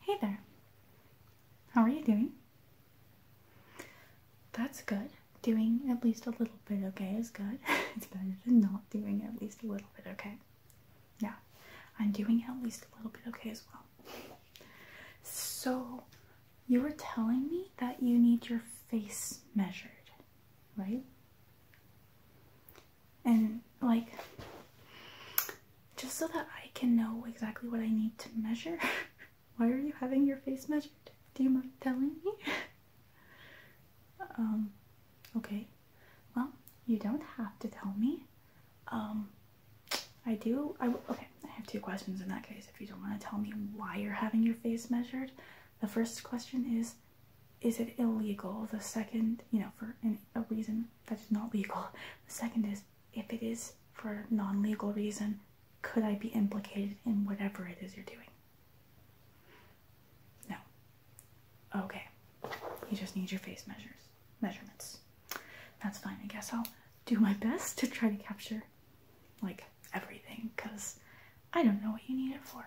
Hey there. How are you doing? That's good. Doing at least a little bit okay is good. it's better than not doing at least a little bit okay. Yeah, I'm doing at least a little bit okay as well. So, you were telling me that you need your face measured, right? and like just so that I can know exactly what I need to measure. Why are you having your face measured? Do you mind telling me? um, okay. Well, you don't have to tell me. Um, I do. I okay. I have two questions in that case. If you don't want to tell me why you're having your face measured, the first question is, is it illegal? The second, you know, for a reason that is not legal. The second is if it is for non legal reason, could I be implicated in whatever it is you're doing? No. Okay. You just need your face measures measurements. That's fine. I guess I'll do my best to try to capture like everything because I don't know what you need it for.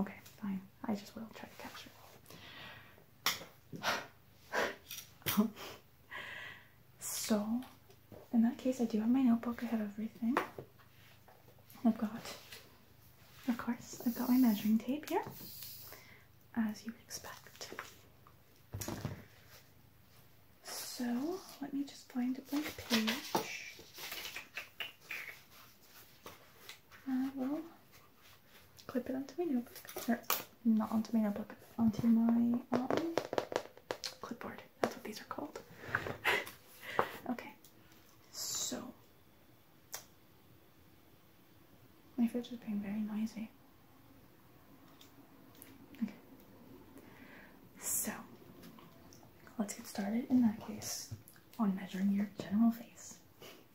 Okay, fine. I just will try to capture it. um, so, in that case, I do have my notebook. I have everything. I've got, of course, I've got my measuring tape here, as you would expect. So, let me just find a blank page. I uh, will clip it onto my notebook. Or not onto my notebook, onto my clipboard. That's what these are called. okay, so my fridge is being very noisy. Okay, so let's get started in that case on measuring your general face.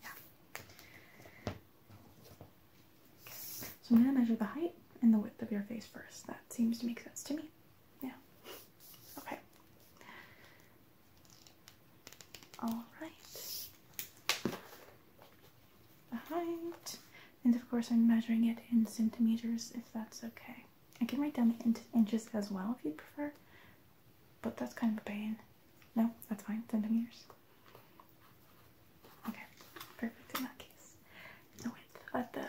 Yeah. So I'm going to measure the height and the width of your face first. That seems to make sense to me. Yeah. Okay. All right. The height. And of course, I'm measuring it in centimeters if that's okay. I can write down the inches as well if you prefer, but that's kind of a pain. No, that's fine. Centimeters. Okay, perfect in that case. The at the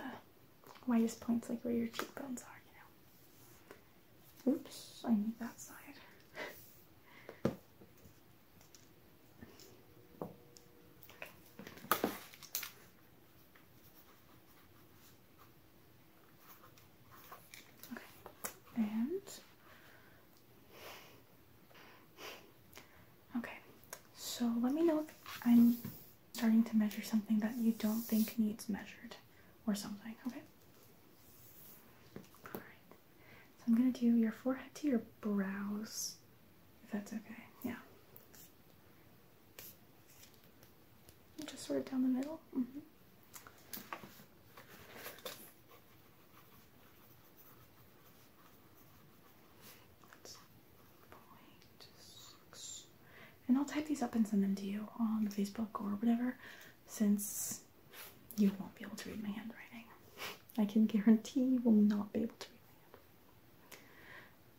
widest points, like where your cheekbones are, you know. Oops, I need that side. Okay, and Okay, so let me know if I'm starting to measure something that you don't think needs measured or something, okay? so I'm gonna do your forehead to your brows, if that's okay, yeah. Just sort of down the middle. Mm-hmm. And I'll type these up and send them to you on Facebook or whatever, since you won't be able to read my handwriting. I can guarantee you will not be able to read my handwriting.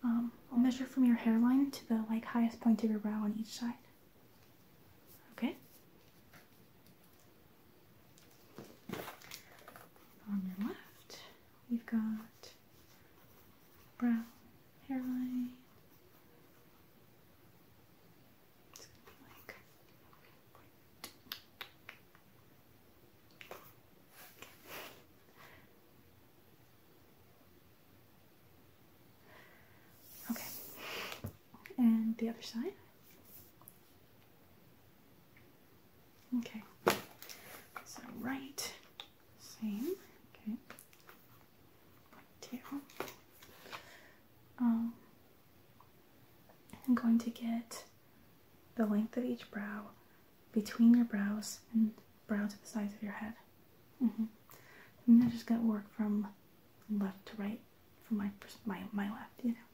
Um, I'll measure from your hairline to the like highest point of your brow on each side. Okay? On your left, we've got brow, hairline. It's going to be like. Okay, and the other side. Okay, so right, same. Okay, tail. Um, I'm going to get the length of each brow between your brows and brow to the sides of your head. Mm -hmm. And I'm just going to work from left to right from my my my left, you know.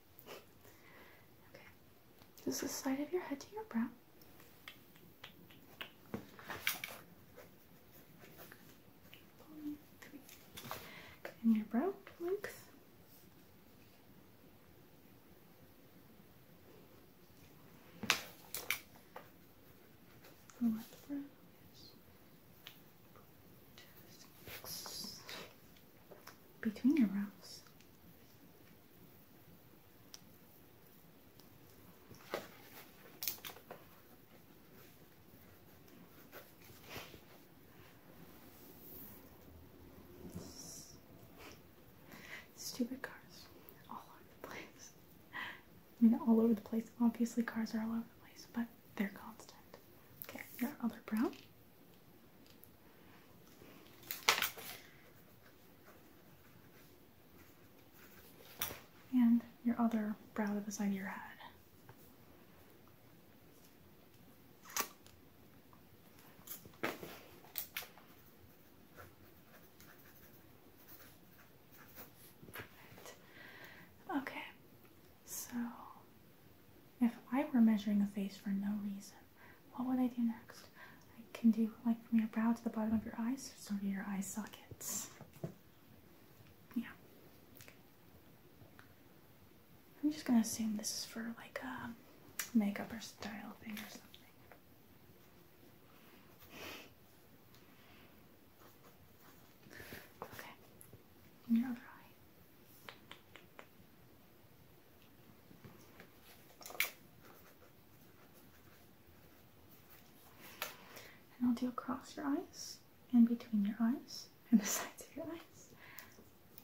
okay, just the side of your head to your brow. One, three. And your brow length. left brow, yes between your brows. Stupid cars all over the place. I mean, all over the place. Obviously, cars are all over the place, but they're constant. Okay, your other brow. And your other brow to the side of your head. Okay, so, if I were measuring a face for no reason, what would I do next? I can do like from your brow to the bottom of your eyes, sort of your eye sockets. Yeah. I'm just gonna assume this is for like a um, makeup or style thing or something. Okay. You're right. And I'll do across your eyes and between your eyes and the sides of your eyes.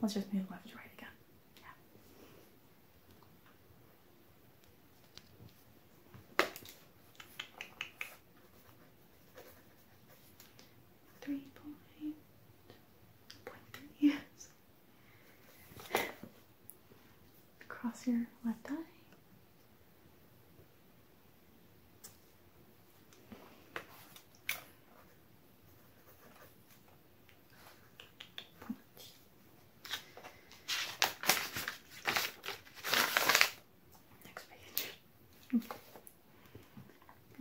Let's just move left to right again. Yeah. Three point point three, yes. Across your left eye. Next page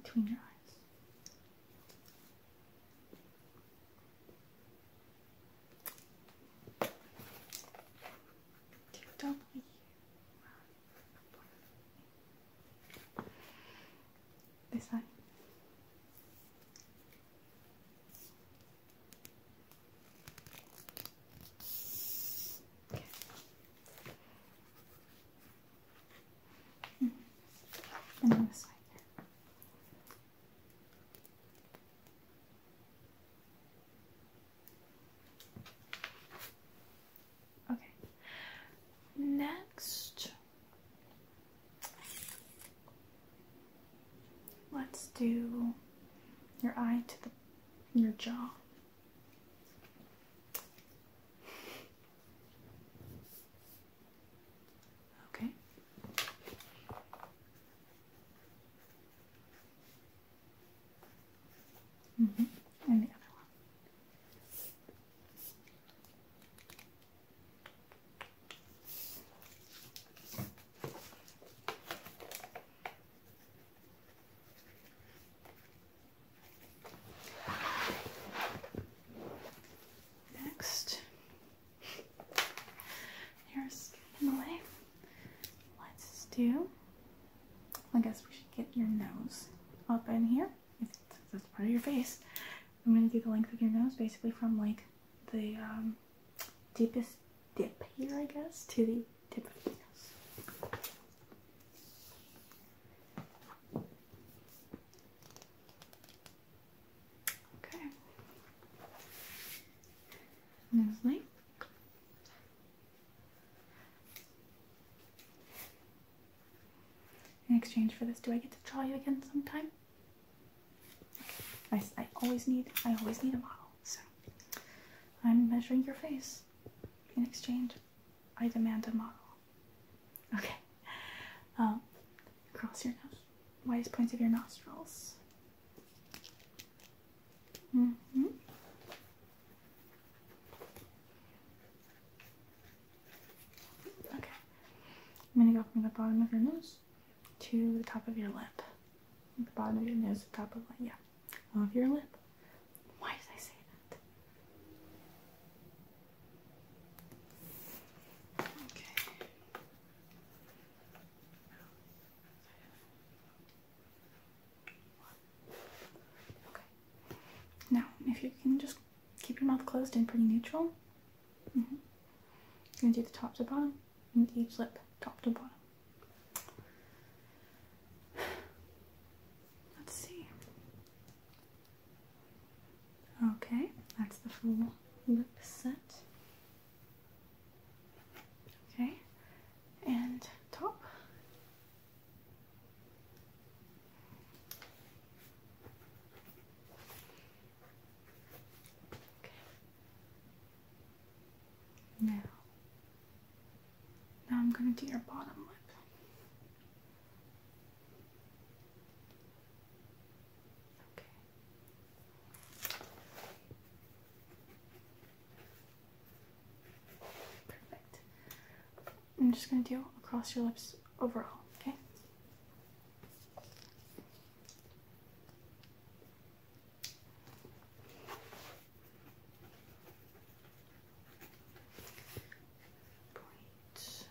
between your eyes. Double This eye. Hmm. Okay. Next, let's do your eye to the your jaw. Okay. Mm -hmm. And the other one. Next, here's in the way. Let's do. I guess we should get your nose up in here. that's part of your face. I'm gonna do the length of your nose, basically from like the um, deepest dip here, I guess, to the Okay. Lovely. In exchange for this, do I get to draw you again sometime? I, I always need I always need a model, so I'm measuring your face in exchange. I demand a model. Okay. Um, cross your nose. Widest points of your nostrils. hmm Okay. I'm gonna go from the bottom of your nose to the top of your lip. The bottom of your nose, the top of the yeah of your lip. Why did I say that? Okay. Okay. Now, if you can just keep your mouth closed and pretty neutral. Mm -hmm. gonna do the top to bottom and each lip, top to bottom. Let's see. Okay, that's the full lip set. Okay, and top. Okay. Now now I'm going to do your bottom lip. Okay. Perfect. I'm just going to do across your lips overall, okay? Point.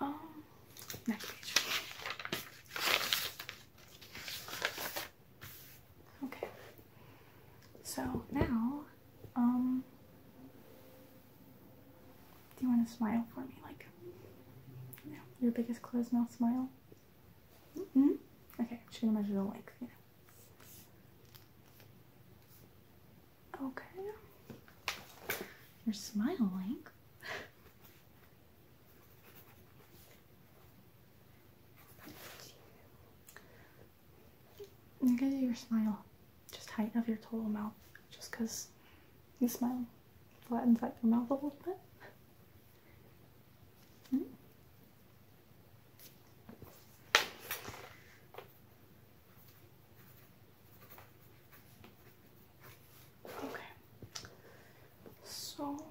Um, next page. Okay. So now, um, do you want to smile for me? Like, your biggest closed mouth smile? Mm-hmm. Okay, I'm just gonna measure the length. You Okay. You're smiling. I'm gonna do your smile, just height of your total mouth, just because you smile flattens out your mouth a little bit. Hmm? Okay. So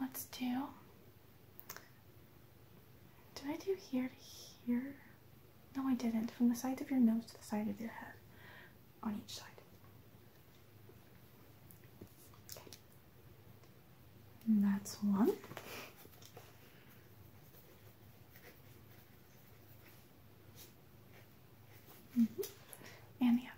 let's do. Do I do here to here? No, I didn't. From the sides of your nose to the side of your head, on each side. Okay. And that's one. Mm-hmm. And the other.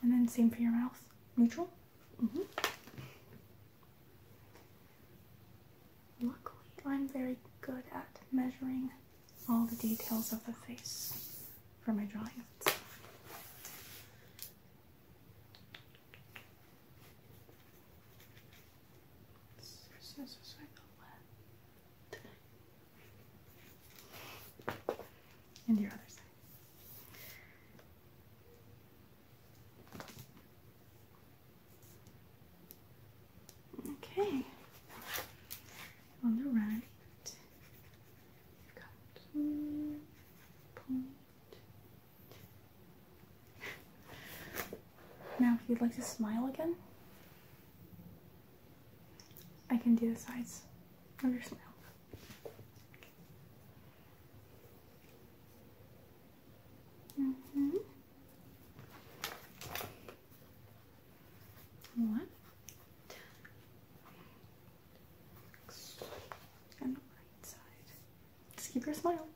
And then same for your mouth, neutral. Luckily, I'm very good at measuring all the details of the face for my drawing and your other side. Okay, on the right, you point. Now, if you'd like to smile again, I can do the sides of your smile. Mm-hmm. One. Next. And the right side. keep your smile.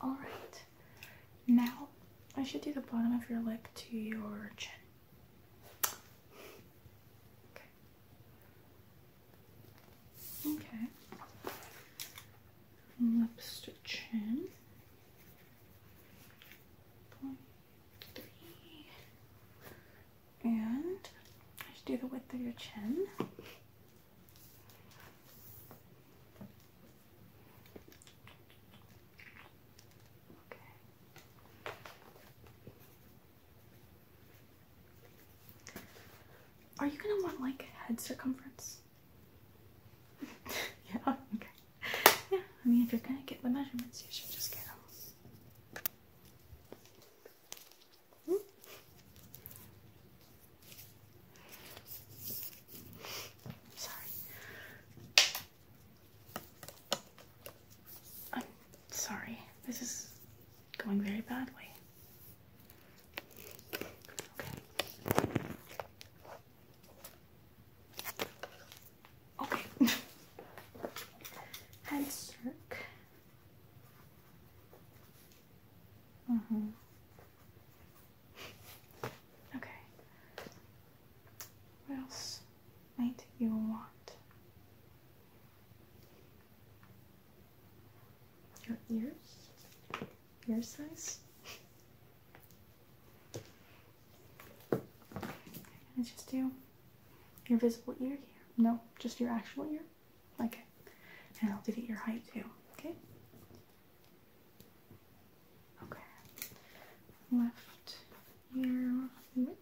All right, now I should do the bottom of your lip to your chin. Okay. Okay. to chin. One, and just do the width of your chin. Okay. Are you gonna want like head circumference? yeah, okay. Yeah, I mean, if you're gonna get the measurements, you should just get them. Hmm? Sorry. I'm sorry. This is going very badly. Okay. Okay. Head circ. Mm-hmm. Okay. What else might you want? Your ears? Ear size? Okay, I just do your visible ear here. No, just your actual ear. Okay. And I'll do your height too. Okay. Okay. Left ear width.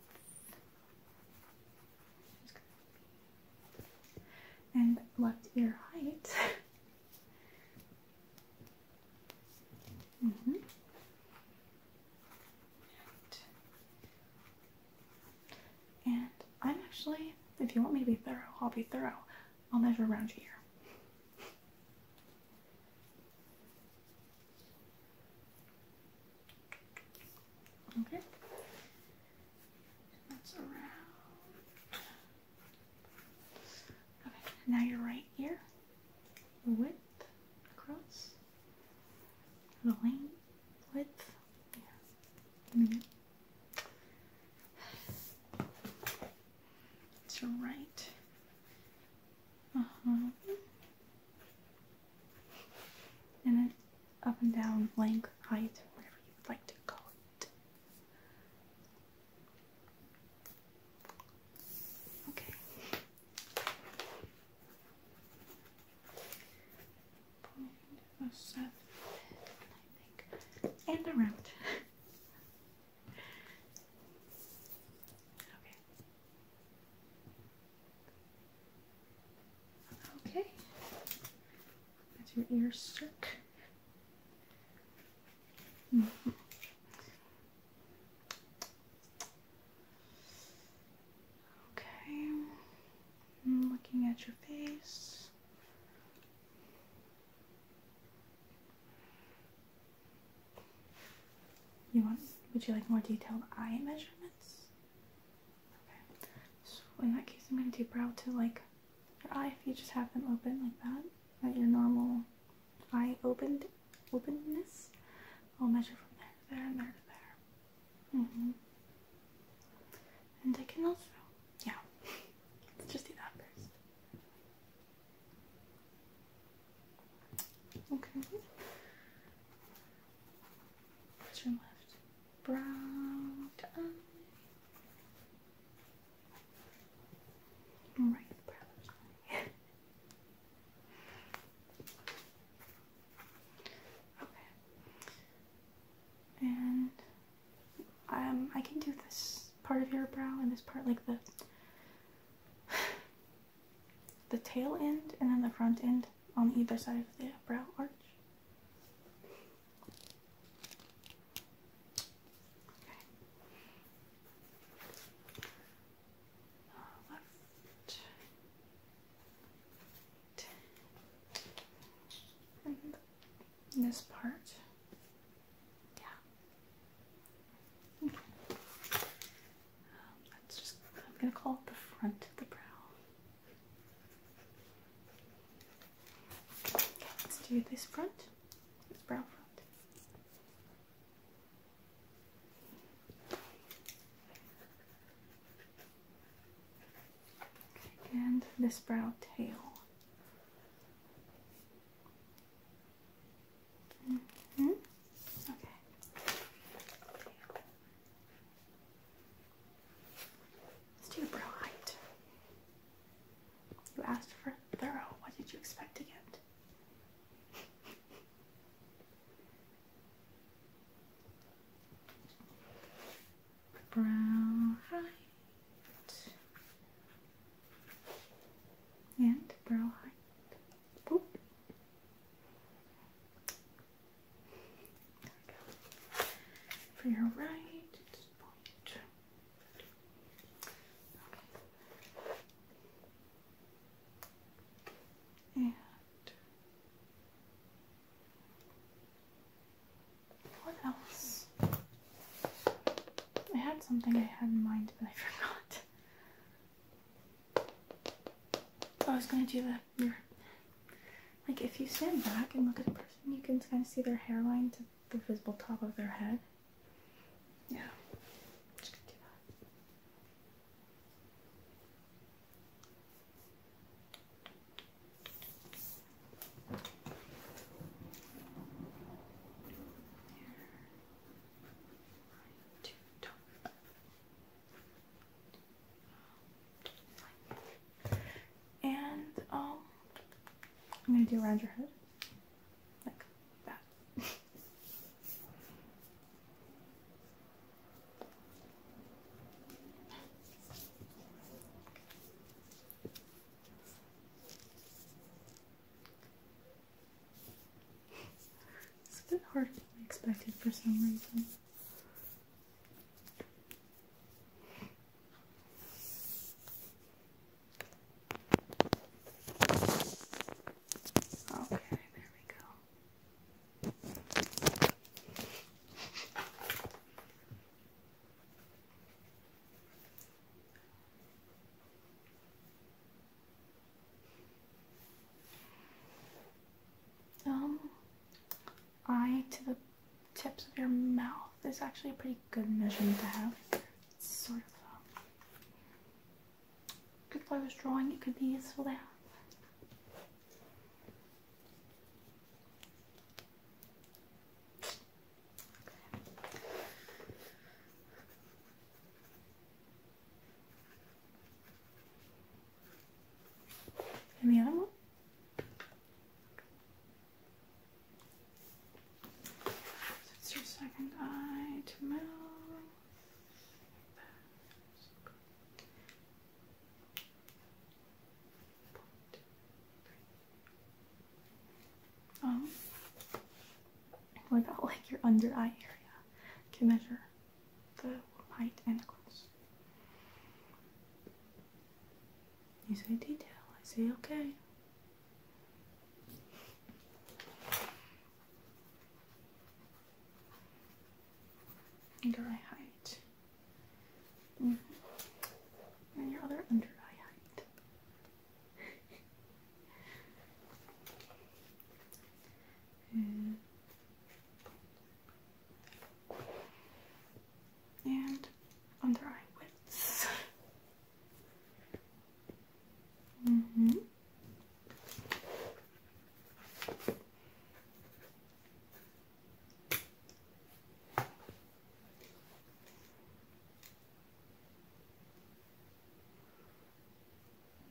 And left ear height. hmm and I'm actually, if you want me to be thorough, I'll be thorough. I'll measure around your ear. Okay, that's around. Okay, now your right ear, the width across, the length, width. Yeah. It's right. Uh huh. And then up and down, length, height, whatever you would like to call it. Okay and around. okay. Okay. That's your ear stuck. Mm mm-hmm. Okay, I'm looking at your face. You want? Would you like more detailed eye measurements? Okay. in that case, I'm gonna do brow to like your eye. If you just have them open like that, at your normal eye opened openness, I'll measure from there to there and there to there. Mm-hmm. And I can also, yeah, let's just do that first. Okay. What's your left brow Right brow Okay. And um, I can do this part of your brow and this part, like the the tail end and then the front end on either side of the brow arch. Okay this part. Yeah. I'm gonna call it the front of the brow. Okay, let's do this front, this brow front and this brow tail. -hmm. Okay. Let's do brow height. You asked for thorough. What did you expect to get? Brown, right, and brown. For your right, it's what else? I had something I had in mind, but I forgot. I was gonna do the mirror. Like if you stand back and look at a person, you can kind of see their hairline to the visible top of their head. Yeah, and um, I'm gonna do around your head like that. It's a bit harder than I expected for some reason. Okay, there we go. Um, eye to the tips of your mouth is actually a pretty good measurement to have. sort of um, Good I was drawing, it could be useful there. And the other one. it's your second eye to mouth. Um, what about like your under eye area? Can measure the height and close. You say detail. I say okay under eye height. Mm-hmm. And your other under eye height. Mm-hmm. and under eye width. Mm -hmm.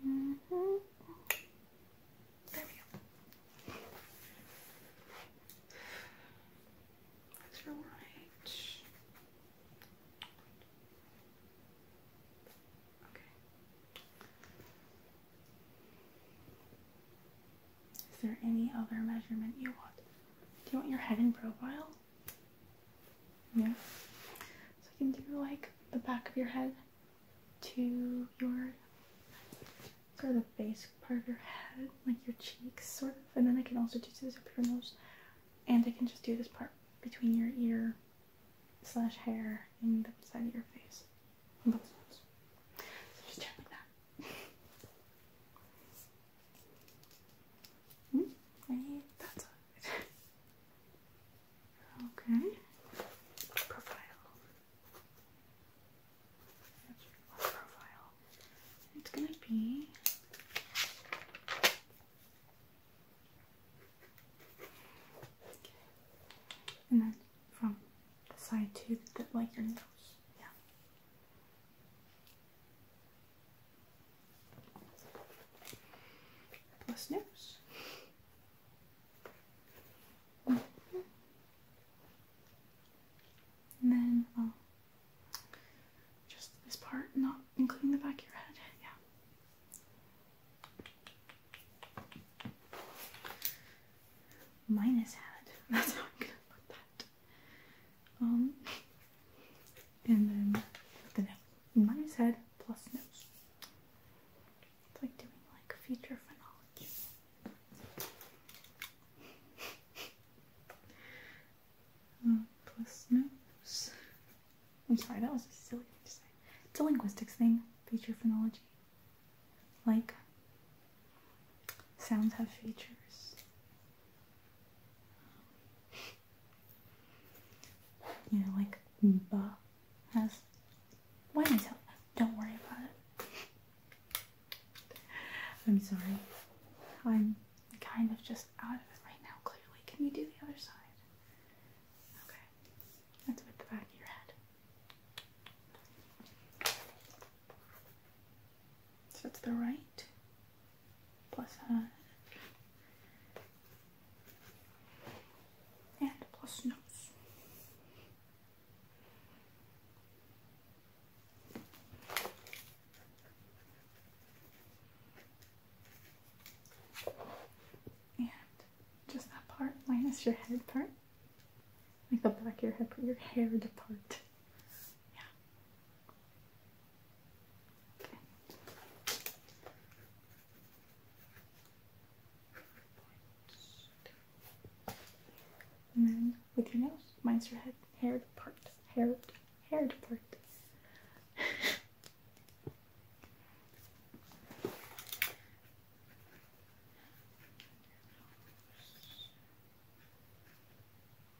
Mm -hmm. There we go. Extra light. Okay. Is there any other measurement you want? Do you want your head in profile? Yeah. So I can do like the back of your head to your sort of the base part of your head, like your cheeks sort of, and then I can also do this up your nose. And I can just do this part between your ear slash hair in the side of your face. So just gently that. Hmm? okay. profile. It's gonna be and then from the side to the, like your nose. Yeah. Plus nose. Mm-hmm. And then, well, uh, just this part, not including the back of your head. Yeah. Minus head. That's how I'm gonna put that. Um, and then the nose. Minus head plus nose. It's like doing like feature phonology. Uh, plus nose. I'm sorry, that was a silly thing to say. It's a linguistics thing, feature phonology. Like, sounds have features. You know, like, ba has. Why didn't I Don't worry about it. I'm sorry. I'm kind of just out of it right now, clearly. Can you do the other side? Okay. That's with the back of your head. So it's the right plus uh, and plus nose. And just that part minus your head part. Like the back of your head, put your hair apart. Yeah. Okay. And then with your nose, minus your head, hair part, hair, hair part.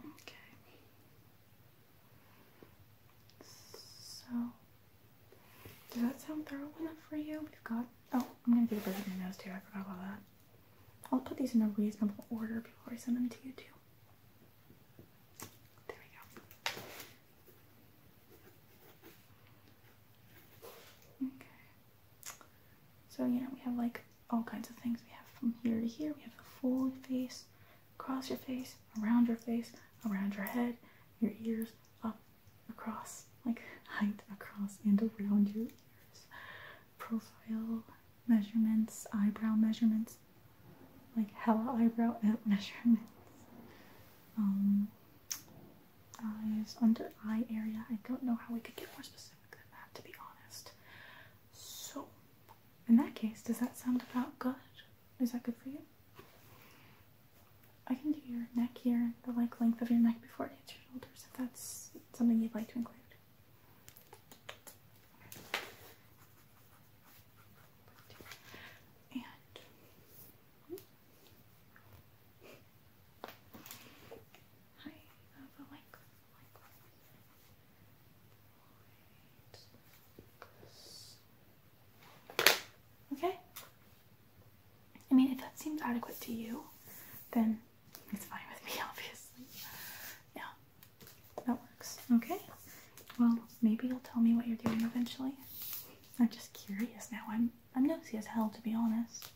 Okay. So, does that sound thorough enough for you? We've got. Oh, I'm gonna do the bird in my nose too. I forgot about that. I'll put these in a reasonable order before I send them to you too. There we go. Okay. So yeah, we have like all kinds of things. We have from here to here. We have the full face, across your face, around your face, around your head, your ears, up, across, like height across and around your ears. Profile measurements, eyebrow measurements, like hella eyebrow measurements. Um, eyes, under eye area. I don't know how we could get more specific than that, to be honest. So, in that case, does that sound about good? Is that good for you? I can do your neck here, the like length of your neck before it hits your shoulders, if that's something you'd like to include. And Hi, uh, Okay. I mean, if that seems adequate to you, then it's fine with me, obviously. Yeah, that works. Okay. Well, maybe you'll tell me what you're doing eventually. I'm just curious now. I'm I'm nosy as hell to be honest.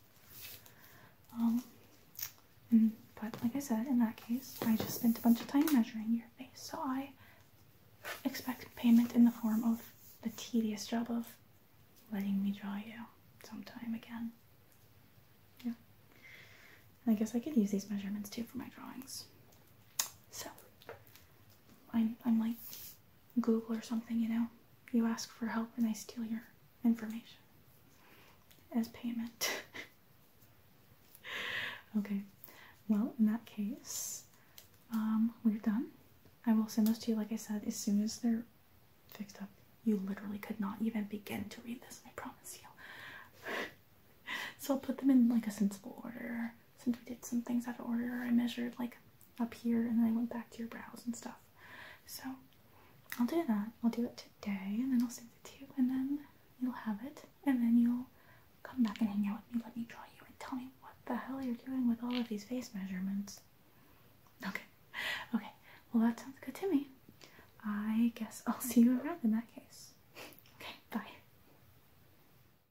Um, but like I said, in that case, I just spent a bunch of time measuring your face, so I expect payment in the form of the tedious job of letting me draw you sometime again. Yeah. I guess I could use these measurements too for my drawings. So, I'm, I'm like Google or something, you know? You ask for help and they steal your information as payment. okay, well, in that case, um, we're done. I will send those to you, like I said, as soon as they're fixed up. You literally could not even begin to read this, I promise you. so I'll put them in like a sensible order since we did some things out of order, I measured like up here and then I went back to your brows and stuff. So I'll do that. I'll do it today and then I'll send it to you and then you'll have it and then you'll come back and hang out with me, let me draw you and tell me what the hell you're doing with all of these face measurements. Okay. Okay. Well that sounds good to me. I guess I'll see you around in that case. Okay, bye.